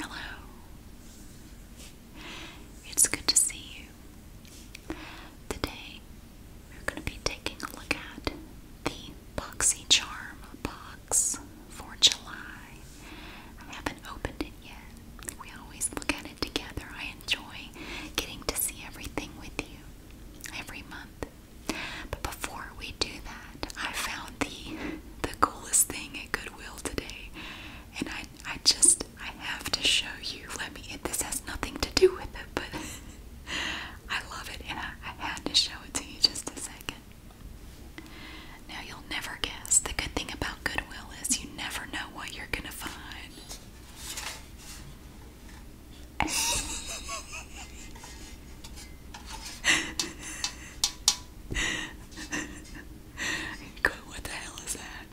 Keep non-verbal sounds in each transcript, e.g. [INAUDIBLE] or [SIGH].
Hello. It's good to see you. Today we're going to be taking a look at the Boxy Charm box for July. I haven't opened it yet. We always look at it together. I enjoy getting to see everything with you every month. But before we do that, I found the the coolest thing at Goodwill today. And I I just I have to show you. Let me this has nothing to do with it, but [LAUGHS] I love it and I had to show it to you just a second. Now you'll never guess. The good thing about Goodwill is you never know what you're gonna find. [LAUGHS] [LAUGHS] what the hell is that?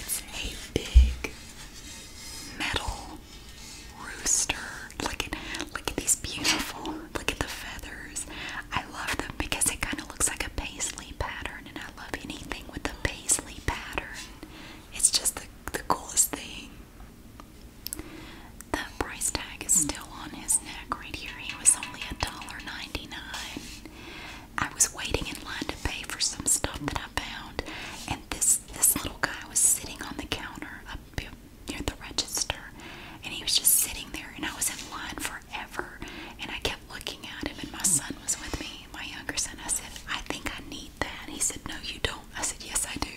It's a big metal rooster. Look at look at these beautiful look at the feathers. I love them because it kind of looks like a paisley pattern and I love anything with a paisley pattern. It's just the the coolest thing. The price tag is still on his neck right here. He was only $1.99. I was waiting in line to pay for some stuff that I found, and this this little guy was sitting on the counter up near the register, and he was just sitting there, and I was in line forever, and I kept looking at him, and my son was with me, my younger son. I said, I think I need that. He said, No, you don't. I said, Yes, I do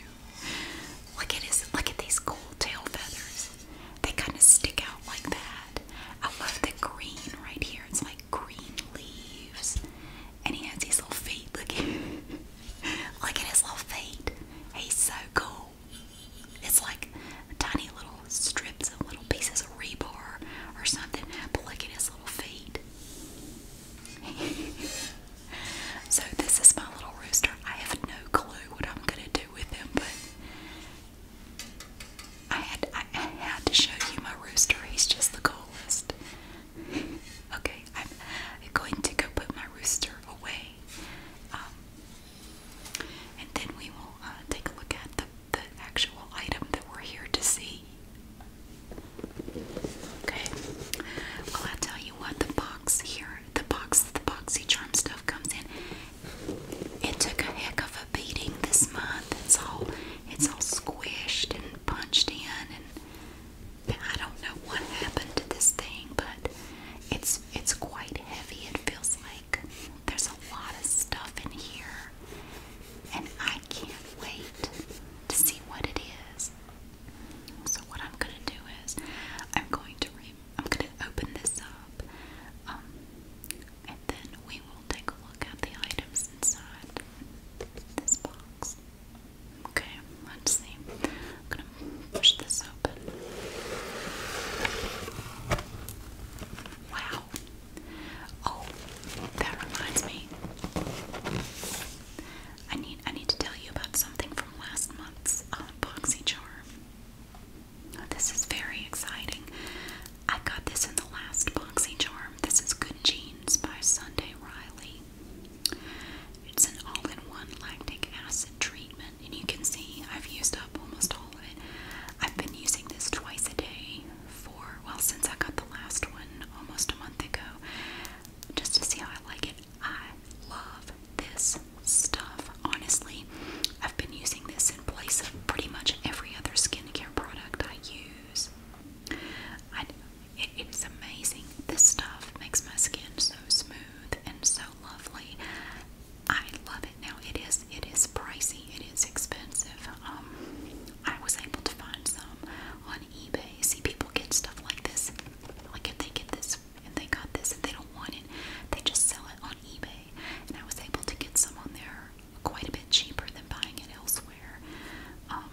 look at his look at these cool tail feathers. They kind of stick out like that. I love the green right here. It's like green leaves. And he has these little feet. Look [LAUGHS] look at his little feet. He's so cool. It's like tiny little strips and little pieces of rebar or something. But look at his little feet. [LAUGHS] so this is my little rooster. I have no clue what I'm gonna do with him, but I had I, had to show you my rooster. He's just the coolest. [LAUGHS] okay, I'm going to go put my rooster away, um, and then we will uh, take a look at the actual item that we're here to see. Okay. Well, I tell you what, the box here the box, the boxy charm stuff comes in. It took a heck of a beating this month. It's all, it's all squished and punched in, and I don't know what happened to this thing, but it's it's quite heavy. It feels like there's a lot of stuff in here, and I can't wait to see what it is. So what I'm gonna do is I'm going to. I'm gonna open this up, um, and then we will take a look at the items inside this box. Okay, let's see. I'm gonna push this open. Wow. Oh, that reminds me. I need I need to tell you about something from last month's um, boxy charm. Oh, this is very exciting. I got this in the last boxy charm. This is Good jeans by Sunday Riley. It's an all-in-one lactic acid treatment, and you can see I've used up almost all of it. I've been using this twice a day for well since I got the last one almost a month ago, just to see how I like it. I love this stuff. Honestly, I've been using this in place of pretty much every other skincare product I use. I, it's amazing. This stuff makes my skin so smooth and so lovely. I love it. Now it is it is pricey. It is expensive. Um, I was able to find some on eBay. See people get stuff like this. Like if they get this and they got this and they don't want it. They just sell it on eBay. And I was able to get some on there quite a bit cheaper than buying it elsewhere. Um,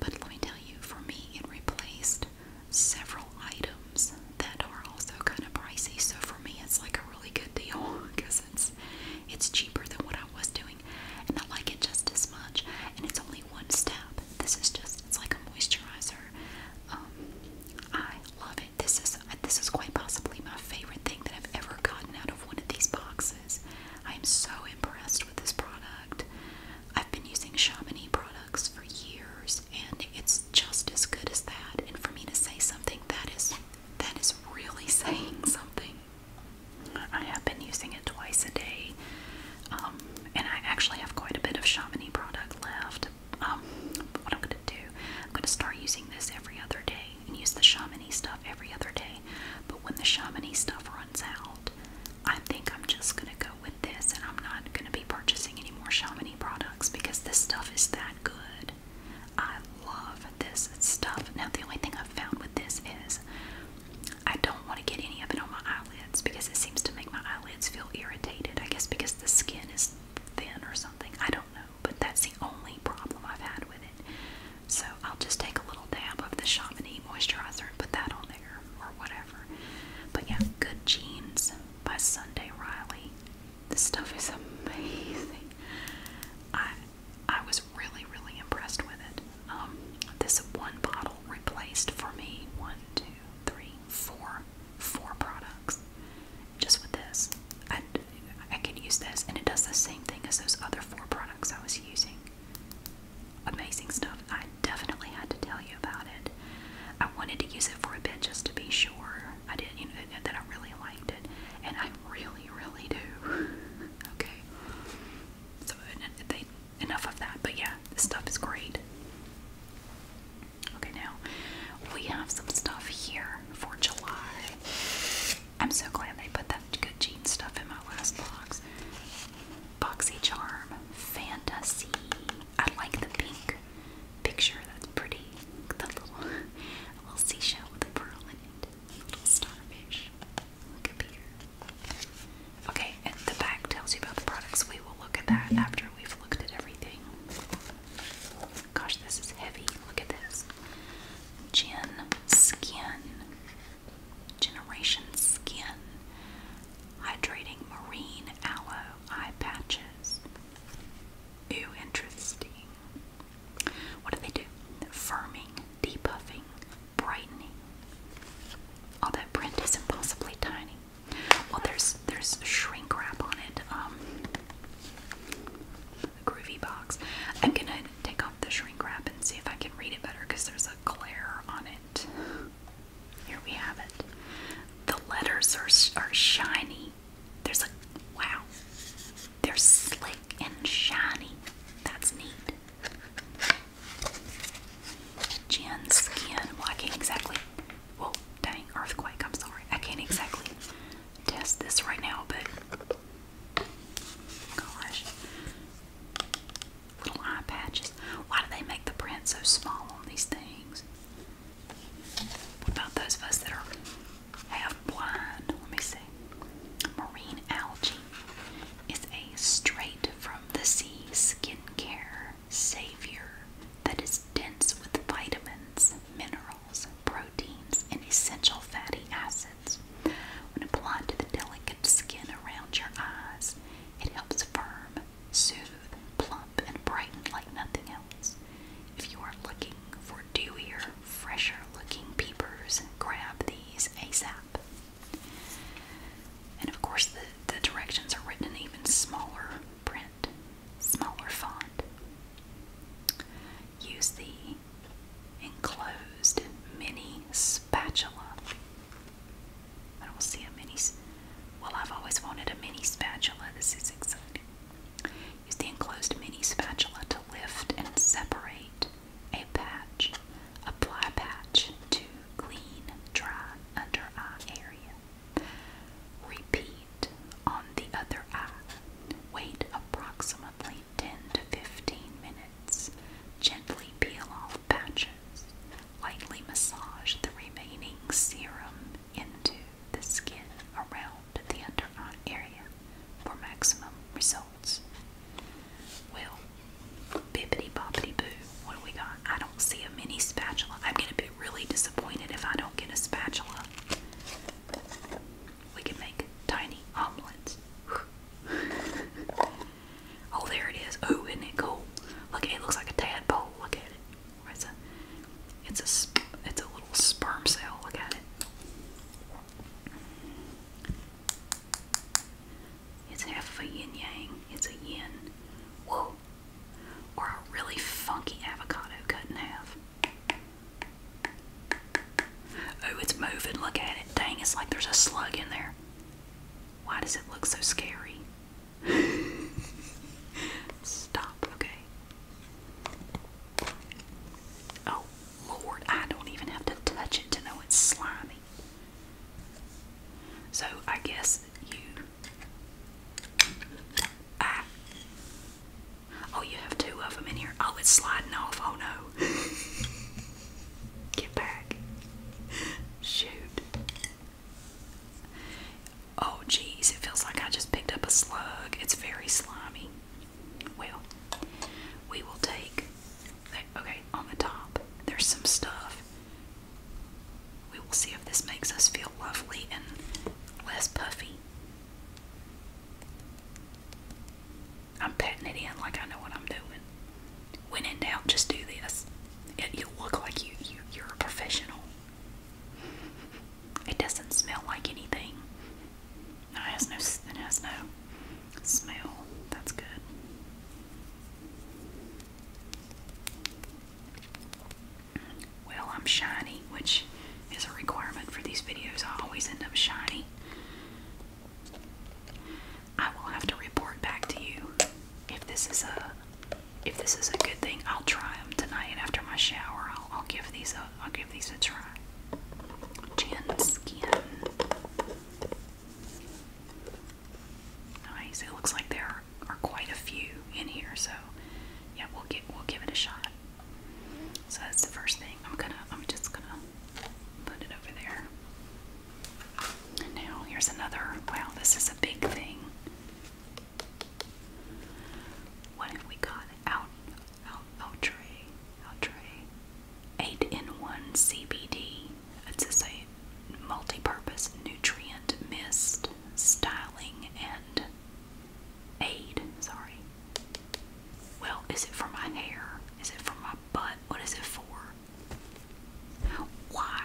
but let me tell you, for me, it replaced several items that are also kind of pricey. So for me, it's like a really good deal because [LAUGHS] it's it's cheaper than what I was doing, and I like it just as much. And it's only one step. This is just it's like a moisturizer. Um, I love this is this is quite possibly my favorite thing that I've ever gotten out of one of these boxes. I am so impressed with this product. I've been using Chamonix products for years, and it's just as good as that. And for me to say something that is that is really [LAUGHS] saying something. I have been using it twice a day, um, and I actually have quite a bit of Chamonix product left um, what I'm going to do, I'm going to start using this every other day and use the shamany stuff every other day. But when the shamany stuff runs out, I think I'm just going to go with this and I'm not going to be purchasing any more shamany products because this stuff is that good. I love this stuff. Now, the only thing I've found with this is I don't want to get any of it on my eyelids because it seems to make my eyelids feel irritated. I guess because the skin is thin or something. I don't know, but that's the only problem I've had with it. So I'll just take a little dab of the Chamonix moisturizer and put that on there or whatever. But yeah, Good Jeans by Sunday Riley. This stuff is amazing. I I was really really impressed with it. Um, this one bottle replaced for me one, two, three, four, four products just with this. I, can use this, and it does the same thing as those other four products I was using. Amazing stuff. I definitely had to tell you about it. I wanted to use it for a bit just to be sure I did, you know, that I really liked it, and I really, really do. [LAUGHS] okay. So enough of that. But yeah, this stuff is great. Okay, now we have some stuff here for July. I'm so glad they put that good gene stuff in my last box. Boxy Charm Fantasy. I like the pink picture. That's pretty. The little, [LAUGHS] little seashell with a pearl in it. A little starfish. Look at here. Okay, and the back tells you about the products. We will look at that after we've looked at everything. Gosh, this is heavy. Look at this. Gen Skin. Generation Skin. Hydrating Marine Aloe Eye Patches. Ooh, interesting. What do they do? Firming, depuffing, brightening. Although print is impossibly tiny, well, there's there's shrink wrap on it. Um, groovy box. I'm gonna take off the shrink wrap and see if I can read it better because there's a glare on it. Here we have it. The letters are are shiny. There's a wow. They're slick and shiny. That's neat. Gin skin. Well, exactly well, dang, earthquake, I'm sorry. I can't exactly test this right now, but gosh. Little eye patches. Why do they make the print so small on these things? about those of us that are half blind? Let me see. Marine algae is a straight from the sea skincare savior that is dense with vitamins, minerals, proteins, and essential fatty acids. When applied to the delicate skin around your eyes, it helps firm, soothe, plump, and brighten like nothing else. If you are looking for dewier, fresher looking peepers, grab these ASAP. And of course, the directions are written in even smaller print smaller font. Use the enclosed mini spatula. I don't see a mini. Well, I've always wanted a mini spatula. This is exciting. Use the enclosed mini spatula to lift and separate a patch. Apply patch to clean, dry under eye area. Repeat on the other eye. Wait approximately 10 to 15 minutes. Gently peel off patches. Lightly massage the remaining serum into the skin around the under eye area for maximum results. Well, bippity boppity boo, what do we got? I don't see a mini spatula. I'm going to be really disappointed if I don't get a spatula. We can make tiny omelets. [LAUGHS] oh, there it is. Oh, isn't it cool? Look, it looks like a tadpole. Look at it. It's a, it's a, it's a little sperm cell. Look at it. It's half a yin yang. It's a yin. Whoa. Or a really funky avocado cut in half. Oh, it's moving. Look at it. Dang, it's like there's a slug in there. Why does it look so scary? [LAUGHS] Stop, okay. Oh, Lord, I don't even have to touch it to know it's slimy. So I guess you. Oh, you have two of them in here. Oh, it's sliding off. Oh no. [LAUGHS] Get back. Shoot. Oh, geez, it feels like I just picked up a slug. It's very slimy. Well, we will take. Okay, on the top, there's some stuff. We will see if this makes us feel lovely and less puffy. I'm patting it in like I know what I'm doing. When in doubt, just do this. you look like you, you you're a professional. It doesn't smell like anything. it has no it has no smell. That's good well, I'm shiny, which is a requirement for these videos. I always end up shiny. I will have to report back to you if this is a if this is a good thing. I'll try them tonight and after my shower. I'll, give these i I'll give these a try. Gin skin. Nice. It looks like there are quite a few in here, so yeah, we'll get we'll give it a shot. So that's the first thing. I'm gonna I'm just gonna put it over there. And now here's another wow, this is a big thing. What have we got? Out out outre outre. Eight in one CBD. It's just a multi-purpose nutrient mist styling and aid, sorry. Well, is it for my hair? Is it for my butt? What is it for? Why?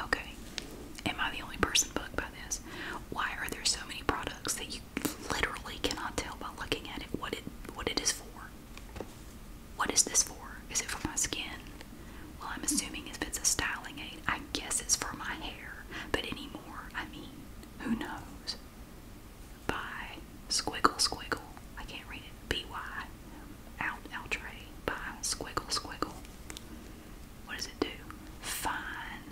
Okay. Am I the only person bugged by this? Why are there so many products that you literally cannot tell by looking at it what it what it is for? What is this for? Is it for my skin? Well, I'm assuming if it's a styling aid, I guess it's for my hair. But anymore, I mean, who knows? by Squiggle Squiggle. I can't read it. B Y Out Outre by Squiggle Squiggle. What does it do? Fine.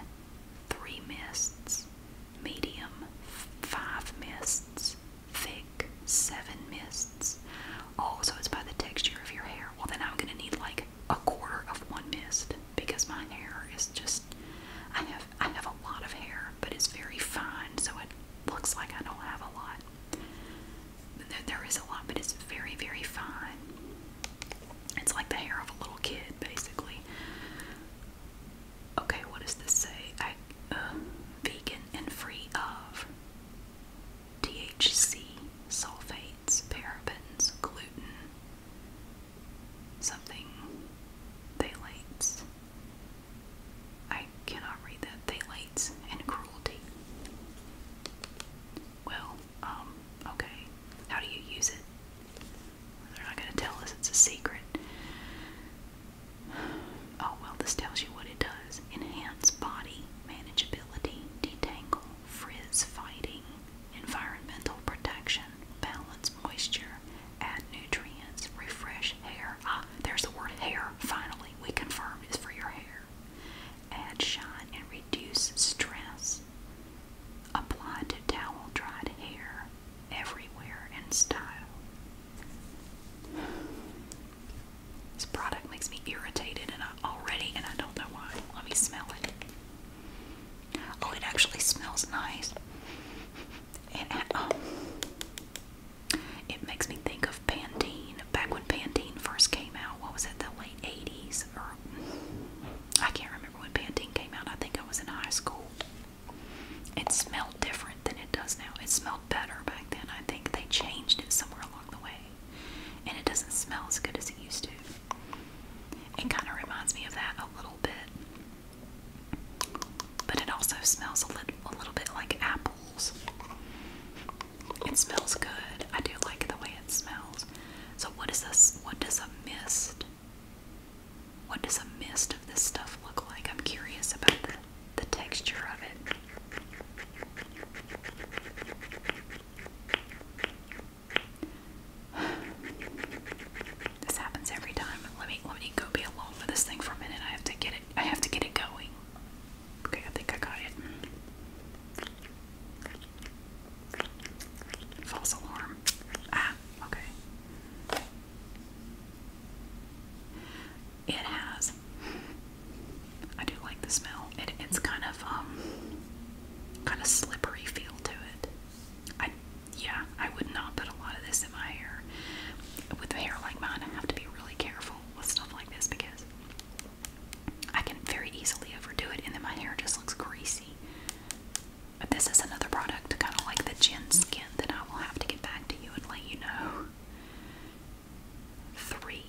Three mists. Medium. Five mists. Thick. Seven mists. Oh, so it's by the texture of your hair. Well, then I'm gonna need like a quarter of one mist because my hair is just. I have I have a lot of hair, but it's very fine, so it looks like I don't have a lot. There is a lot, but it's very, very fine. It's like the hair of a little kid, basically. Okay, what does this say? I, uh, vegan and free of THC, sulfates, parabens, gluten, something phthalates. I cannot read that. Phthalates and cruelty. Well, um, okay. How do you use it? They're not going to tell us it's a secret. Oh, well, this tells you what it does enhance body manageability, detangle, frizz fighting, environmental protection, balance moisture, add nutrients, refresh hair. Ah, there's the word hair, finally. We confirmed it's for your hair. Add shine and reduce stress. Apply to towel dried hair everywhere in style. This product makes me irritated and I already and I don't know why. Let me smell it. Oh, it actually smells nice. And oh. it makes me think of Pantene. Back when Pantene first came out, what was it, the late 80s? I can't remember when Pantene came out. I think I was in high school. It smelled different than it does now. It smelled better back then. I think they changed it somewhere along the way. And it doesn't smell as good as it used to. It kind of reminds me of that a little bit. But it also smells a little, a little bit like apples. It smells good. I do like the way it smells. So what is this? What does a mist? What does a mist of this stuff look like? I'm curious about the texture of it. This happens every time. Let me let me go be alone with this thing for a minute. I have to get it. I have to get it going. Okay, I think I got it. False alarm. Ah, okay. It has. I do like the smell. It, it's kind of um, kind of slippery feel to it. I yeah, I would not put a lot of this in my hair. With hair like mine, I have to be really careful with stuff like this because I can very easily overdo it and then my hair just looks greasy. But this is another product, kind of like the gin skin, that I will have to get back to you and let you know. Three.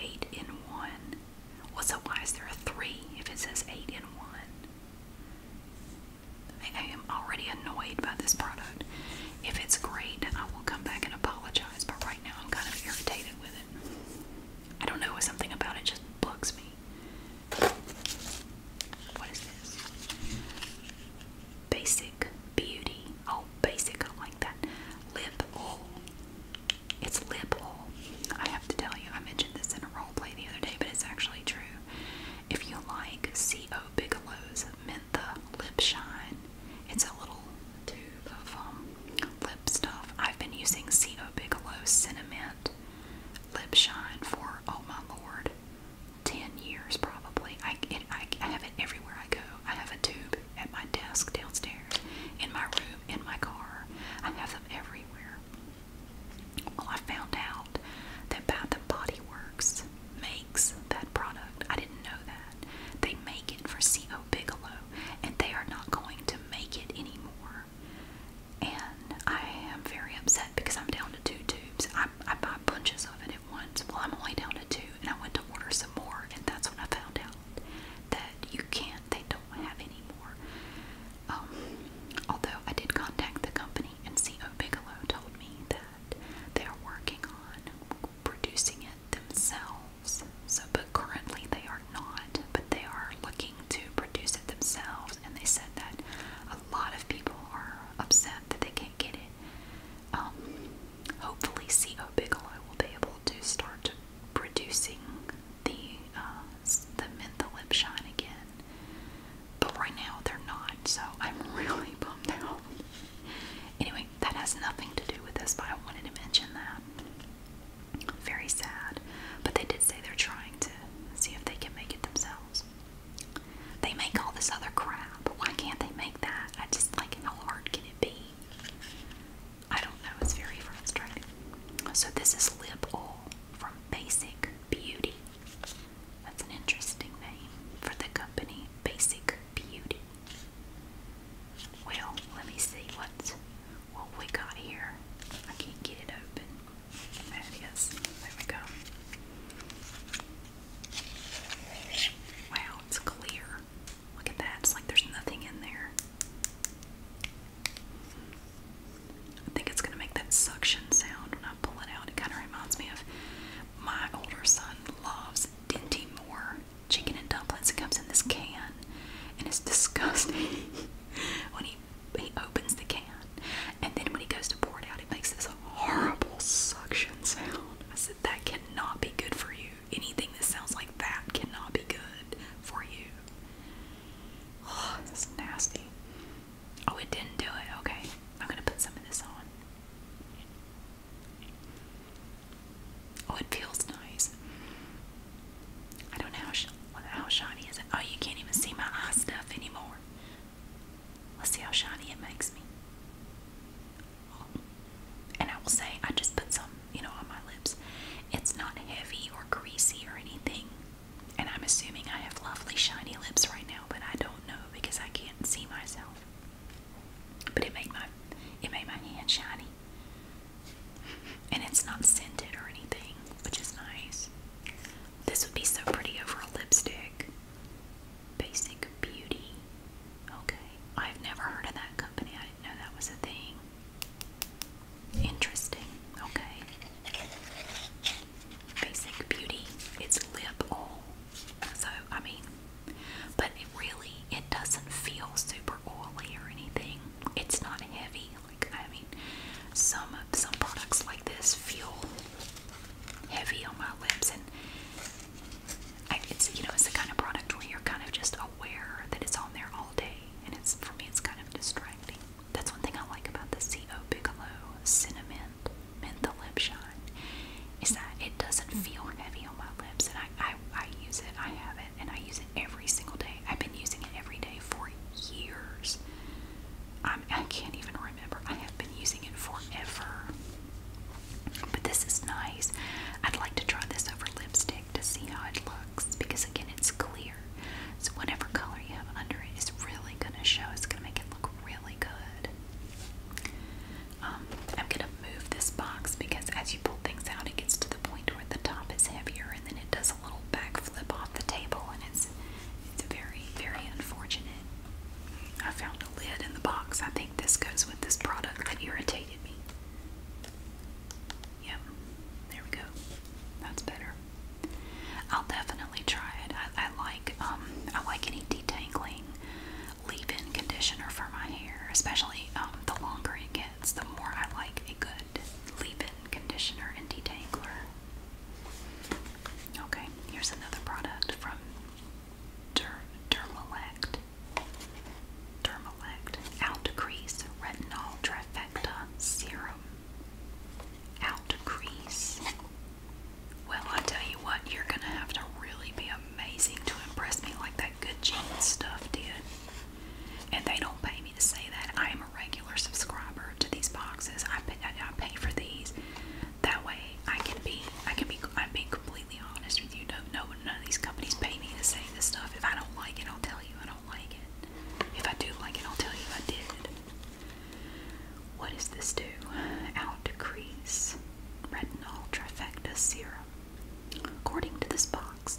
Eight in one. Well, so why there a three if it says eight in one? I am already annoyed by this product. If it's great, I will come back and apologize, but right now I'm kind of irritated with it. I don't know, something about it just bugs me. What is this? Basic Beauty. Oh, basic, I like that. Lip oil. It's lip oil. I have to tell you, I mentioned this in a role play the other day, but it's actually true. If you like C.O. Bigelow's Mentha Lip Shine, it's a little tube of um, lip stuff. I've been using C.O. Bigelow's Cinnamon Lip Shine for, oh my lord, 10 years probably. I, I have it everywhere I go. I have a tube at my desk downstairs, in my room, in my car. I have them everywhere. Well, I found out that Bath and Body Works makes that product. I didn't know that. They make it for C.O. Bigelow, and they are not going to make it anymore. And I am very upset because I'm down to two tubes. I, I buy bunches of it at once. Well, I'm only down to two, and I went to order some more, and that's when I found out that you can't, they don't have any more. Um, although I did contact the company and CEO Bigelow told me that they're working on producing it themselves. So, but currently they are not, but they are looking to produce it themselves, and they said that a lot of people are upset that they can't get it. Um, hopefully, CEO Bigelow will be able to start producing the uh, the menthol lip shine again but right now they're not, so I'm [LAUGHS] really bummed out. Anyway, that has nothing to do with this, but I wanted to mention that. Very sad, but they did say they're trying to see if they can make it themselves. They make all this other crap. Why can't they make that? I just like, how hard can it be? I don't know. It's very frustrating. So, this is lip oil from Basic Beauty. That's an interesting name for the company, Basic Beauty. Well, let me see what what we got here. I can't get it open. There it is. There we go. Wow, it's clear. Look at that. It's like there's nothing in there. I think it's going to make that suction sound when I pull it out. It kind of reminds me of my older son loves Dinty Moore chicken and dumplings. It comes in this can, and it's [LAUGHS] disgusting when he he opens the can, and then when he goes to pour it out, it makes this horrible suction sound. I said that cannot be good for you. Anything that sounds like that cannot be good for you. Oh, this is nasty. Oh, it didn't do it. Okay. I'm going to put some of this on. Oh, it feels nice. I don't know how, how shiny is it. Oh, you can't even see my eye stuff anymore. Let's see how shiny it makes me. And I will say, I just put some, you know, on my lips. It's not heavy or greasy or anything. And I'm assuming I have lovely shiny lips right now, but I don't know because I can't see myself. But it made my it made my hand shiny. And it's not scented or anything, which is nice. This would be so pretty over a lipstick. Basic Beauty. Okay. I've never heard of that company. I didn't know that was a thing. Interesting. Okay. Basic Beauty. It's lip oil. So, I mean, but it really, it doesn't feel super oily or anything. It's not heavy. Like, I mean, some some products like this feel heavy on my lips, and it's you know it's the kind of product where you're kind of just aware that it's on there all day, and it's for me it's kind of distracting. That's one thing I like about the CO Bigelow Cinnamon Menthol Lip Shine is that it doesn't feel heavy on my lips, and I, I, I use it, I have it, and I use it every single day. I've been using it every day for years. I'm, I can't even remember. I have been using it forever. But this is nice. I'd like to try this over lipstick to see how it looks because, again, it's clear. So, whatever color you have under it is really going to show. It's going to make it really good. Um, I'm gonna move this box because as you pull things out, it gets to the point where the top is heavier, and then it does a little backflip off the table, and it's it's very very unfortunate. I found a lid in the box. I think this goes with this product that irritated me. Yep, there we go. That's better. I'll definitely try it. I, like um, I like any detangling leave-in conditioner for my hair, especially um, the longer it gets, the more I like a good leave-in conditioner and detangler. Okay, here's another product from Der Dermalect. Dermalect Out Crease Retinol Trifecta Serum. Out Crease well, I tell you what, you're gonna have to really be amazing to impress me like that Good Jeans stuff did. And they don't pay me to say that. I am a regular subscriber to these boxes. I pay, I, I pay for these. That way, I can be, I can be, I'm being completely honest with you. No, no, none of these companies pay me to say this stuff. If I don't like it, I'll tell you I don't like it. If I do like it, I'll tell you I did. What does this do? Out decrease retinol trifecta serum. According to this box,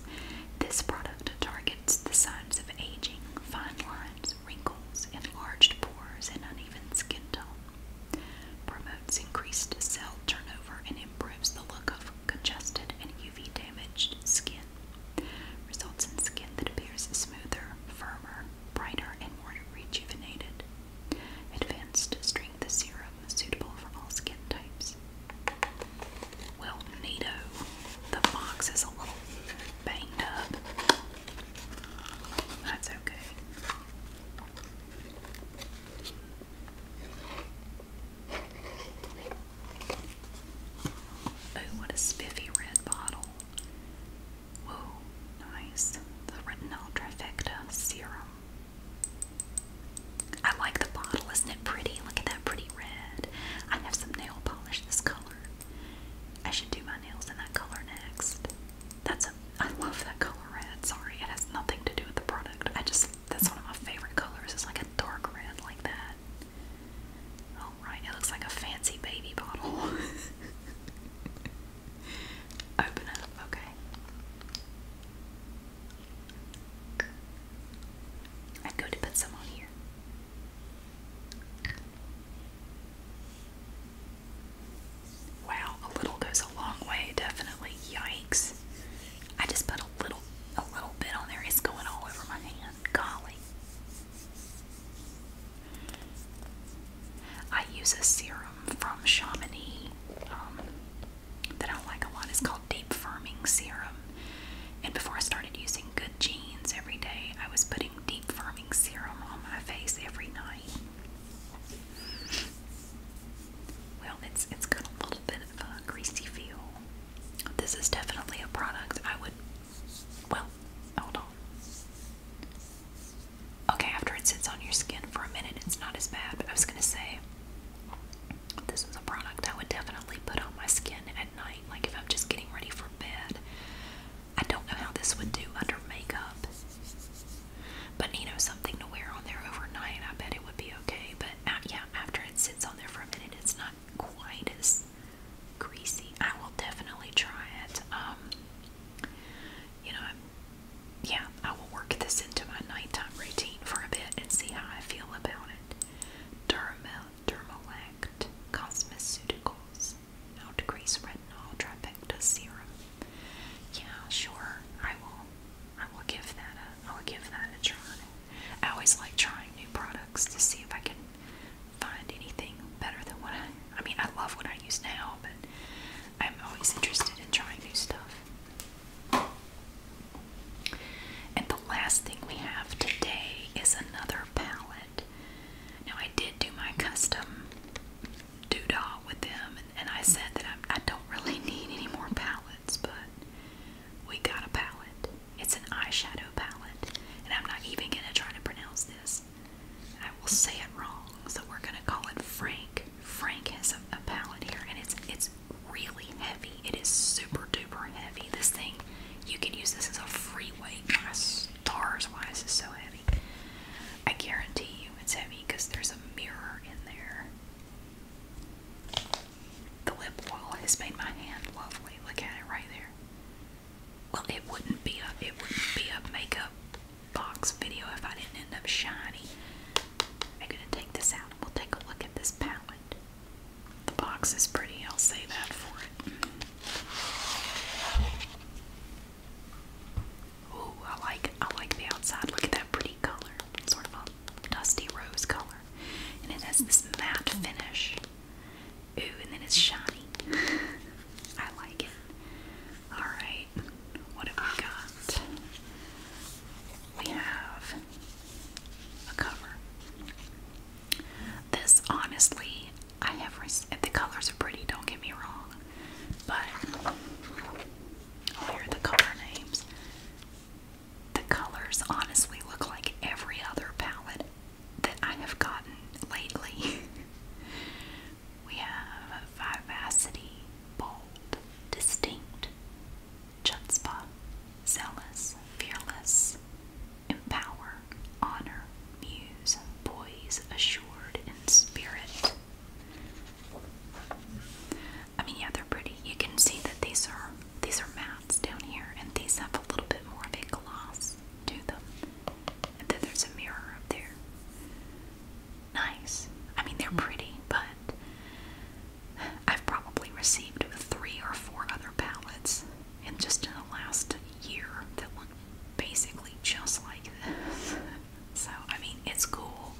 this product targets the signs of aging, fine lines, wrinkles, enlarged pores, and uneven skin tone. Promotes increased cell turnover and improves the look of congested and UV damaged skin. Results in skin that appears smoother, firmer, brighter, and more rejuvenated. Advanced Strength Serum, suitable for all skin types. Well, neato. The box is a little banged up. That's okay. Oh, what a spiffy red bottle. Whoa, nice. The Retinol Trifecta Serum. I like the bottle. Isn't it pretty? Look at that pretty red. I have some nail polish this color. I should do my nails in that color next. That's a I love that color red. Sorry, it has nothing to do with the product. I just that's one of my favorite colors. It's like a dark red like that. Alright, it looks like a fancy baby bottle. [LAUGHS] Open up, okay. I'm going to put some on here. Wow, a little goes a long way, definitely. Yikes. I just put a little a little bit on there. It's going all over my hand. Golly. I use a serum from Chamonix um, that I like a lot. It's called Deep Firming Serum. And before I started using Good Jeans every day, I was putting Deep Firming Serum on my face every night. Well, it's it's got a little bit of a greasy feel. This is definitely a product I would. Well, hold on. Okay, after it sits on your skin for a minute, it's not as bad, but I was gonna say this is a product I would definitely put on my skin at night, like if I'm just getting ready for bed. I don't know how this would do under makeup, but you know, something to wear on there overnight, I bet it would be okay. But uh, yeah, after it sits on there for a minute, it's not quite as greasy. I will definitely try it. Um, you know, yeah, I will work this into my nighttime routine for a bit and see how I feel about it. Dermal, Dermalact Cosmeceuticals, How Decrease Retinol Trifecta Serum. Yeah, sure, I will. I will give that a. I will give that a try. I always like trying new products to see if I can find anything better than what I. I mean, I love what I use now, but I'm always interested in trying new stuff. And the last thing we have today is another palette. Now, I did do my custom doodah with them, and, I said that I, I don't really [LAUGHS] need any more palettes, but we got a palette. It's an eyeshadow palette, and I'm not even going to try to pronounce this. I will say it wrong, so we're gonna call it Frank. Frank has a, a palette here, and it's it's really heavy. It is super duper heavy. This thing, you can use this as a free weight. stars, why is this so heavy? I guarantee you it's heavy because there's a mirror in there. The lip wall has made my hand lovely. Look at it right there. Well, it wouldn't be a it wouldn't be a makeup box video if I didn't end up shiny. I'm gonna take this out and we'll take a look at this palette. The box is pretty, I'll say that for it. Ooh, I like I like the outside. Look at that pretty color. Sort of a dusty rose color. And it has this matte finish. Ooh, and then it's shiny. [LAUGHS] I like it. Alright right, what have we got? We have a cover. This, honestly, I have the colors are pretty. Don't get me wrong, but oh, here are the color names. The colors honestly look like every other palette that I have gotten lately. [LAUGHS] we have vivacity, bold, distinct, jet spot, zealous, fearless, empower, honor, muse, poise, assured, in spirit. I mean, yeah, they're pretty. You can see that these are these are mats down here, and these have a little bit more of a gloss to them. And then there's a mirror up there nice. I mean, they're pretty, but I've probably received three or four other palettes in just in the last year that look basically just like this. [LAUGHS] So, I mean, it's cool,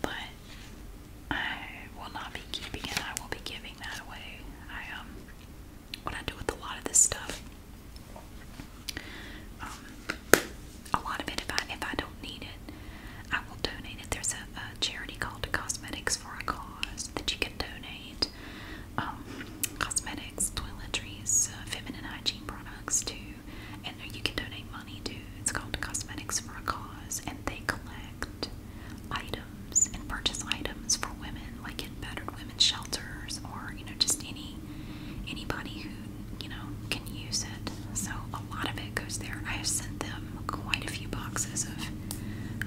but I will not be keeping it. I will be giving that away. I um, what I do with a lot of this stuff um, a lot of it, if I if I don't need it, I will donate it. There's a, a charity called Cosmetics for a Cause that you can donate um, cosmetics, toiletries, uh, feminine hygiene products to, and you can donate money to. It's called Cosmetics for a Cause, and they collect items and purchase items for women, like in battered women's shelters or you know just any anybody who, you know, can use it. So a lot of it goes there. I have sent them quite a few boxes of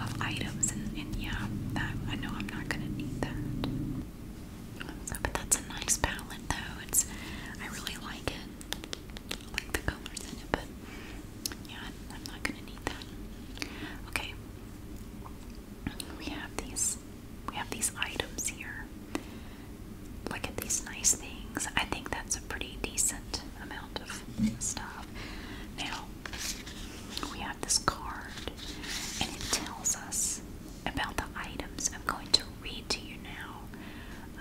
of items and, yeah, that I know I'm not gonna need that. but that's a nice palette though. It's I really like it. I like the colors in it, but yeah, I'm not gonna need that. Okay. We have these we have these items here. Look at these nice things. I think that's a pretty decent amount of stuff. Now we have this card and it tells us about the items. I'm going to read to you now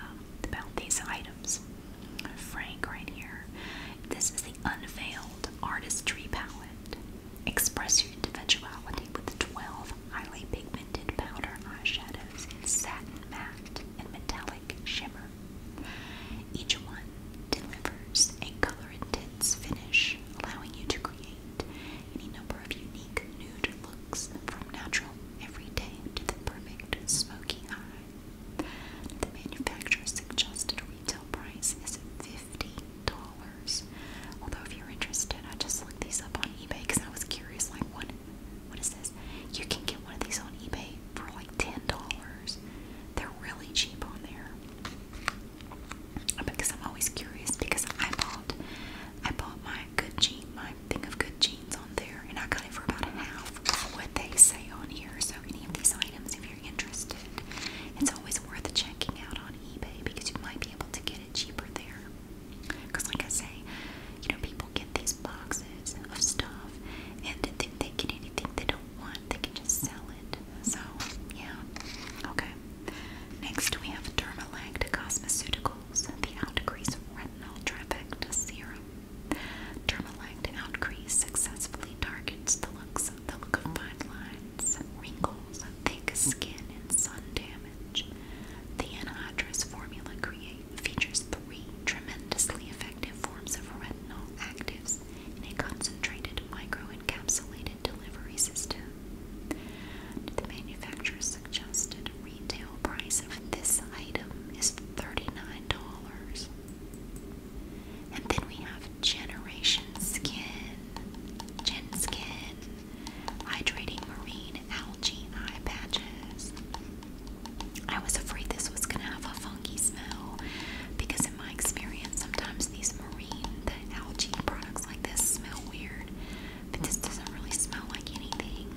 um, about these items. Frank, right here. This is the Unveiled Artistry Palette. Express your individuality with 12 highly pigmented powder eyeshadows in satin matte and metallic shimmer. Each one delivers a color intense finish, allowing you to create any number of unique nude looks from natural everyday to the perfect smoky eye. The manufacturer's suggested retail price is $50. Although if you're interested, I just looked these up on eBay because I was curious, like, what, what is this? You can get one of these on eBay for like $10. They're really cheap on there. Because I'm always curious because I bought, I bought my good jean, my thing of good jeans on there, and I got it for about half of what they say on here. So any of these items, if you're interested, it's always worth checking out on eBay because you might be able to get it cheaper there. Because, like I say, you know, people get these boxes of stuff and then they get anything they don't want, they can just sell it. So, yeah. Okay. Next, we have Dermalact Cosmeceuticals, the Outcrease Retinol Trifecta Serum. Dermalact Outcrease successfully targets the looks the look of fine lines, wrinkles, thick skin, and sun damage. The anhydrous formula features three tremendously effective forms of retinol actives in a concentrated microencapsulated delivery system. The manufacturer suggested retail price of this item is $39. And then we have Generation Skin. Gen Skin hydrating marine algae eye patches. I was afraid this was going to have a funky smell because, in my experience, sometimes these marine, algae products like this smell weird, but this doesn't really smell like anything.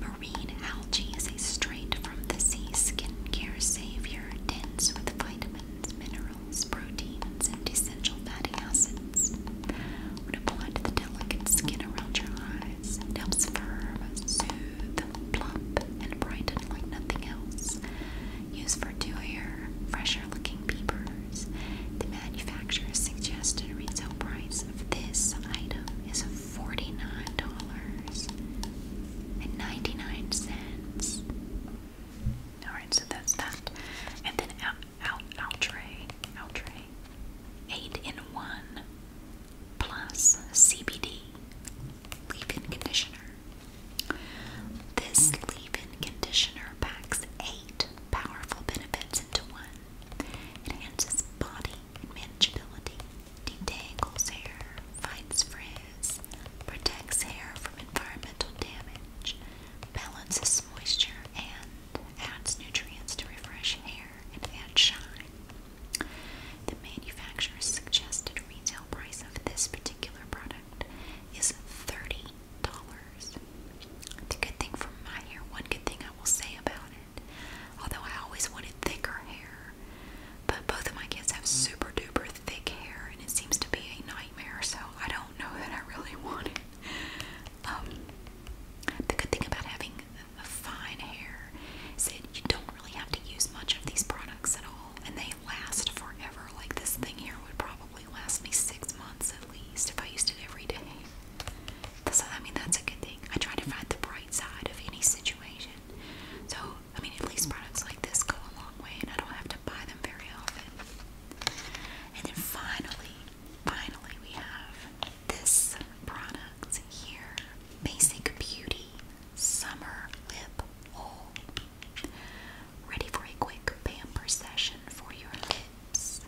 Marine algae is a straight from the sea skin care savior, dense with vitamins, minerals, proteins, and essential fatty acids cleansed. When applied to the delicate skin around your eyes, helps firm, soothe, plump, and brighten like nothing else. Used for dewier, fresher looking peepers. The manufacturer's suggested retail price of this item is $49.99. Alright, so that's that. And then out outre outre eight in one plus CBD leave-in conditioner. This leave-in conditioner packs eight powerful benefits into one. It enhances body manageability, detangles hair, fights frizz, protects hair from environmental damage, balances moisture, and adds nutrients to refresh hair and add shine. The manufacturer's suggested retail price of this particular product is $30. The good thing for my hair, one good thing I will say about it, although I always wanted thicker hair, but both of my kids have super duper thick hair and it seems to be a nightmare, so I don't know that I really want it. Um, the good thing about having a fine hair is that you don't really have to use much of these products at all, and they last forever. Like this thing here would probably last me six months at least if I used it every day. So I mean that's a good thing. I try to find the bright side of any situation. So I mean at least products like this go a long way, and I don't have to buy them very often. And then finally, finally, we have this product here Basic Beauty Summer Lip Oil. Ready for a quick pamper session for your lips.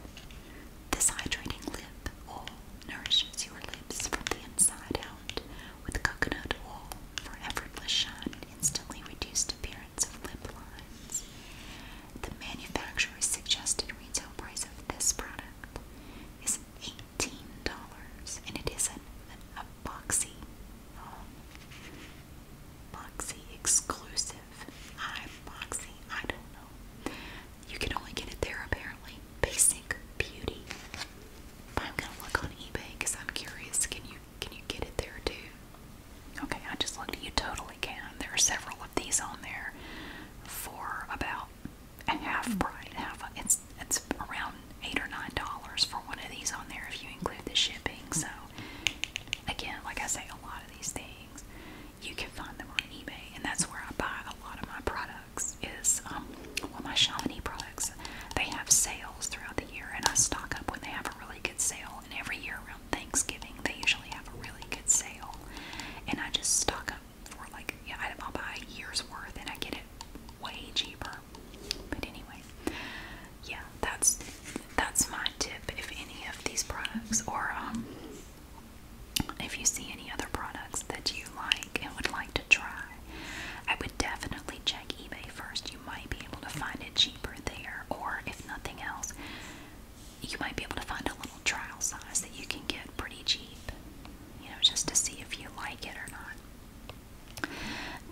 This hydrating lip oil nourishes your lips from the inside out with coconut oil for effortless shine and instantly reduced appearance of lip lines. The manufacturer's suggested retail price of this product is $18 and it is an, an, a boxy, um, boxy exclusive. I boxy, I don't know. You can only get it there apparently. Basic beauty. But I'm gonna look on eBay because I'm curious. Can you can you get it there too? Okay, I just looked at you totally possibly can. There are several of these on there for about a half price. Half it's it's around eight or nine dollars for one of these on there if you include the shipping. So again, like I say, a lot of these things you can find them on eBay, and that's where I buy a lot of my products. Is um, well, my Chamonix products. They have sales throughout the year, and I stock up when they have a really good sale. And every year Thanksgiving. They usually have a really good sale, and I just stock up for like yeah, I'll buy a year's worth, and I get it way cheaper. But anyway, yeah, that's that's my tip. If any of these products, or um, if you see any other products that you like and would like to try, I would definitely check eBay first. You might be able to find it cheaper there, or if nothing else, you might be able to find a little trial size that you can get pretty cheap, you know, just to see if you like it or not.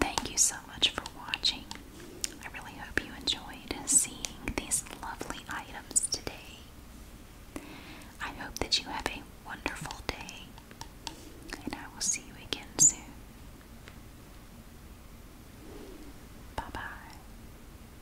Thank you so much for watching. I really hope you enjoyed seeing these lovely items today. I hope that you have a wonderful day, and I will see you again soon. Bye bye.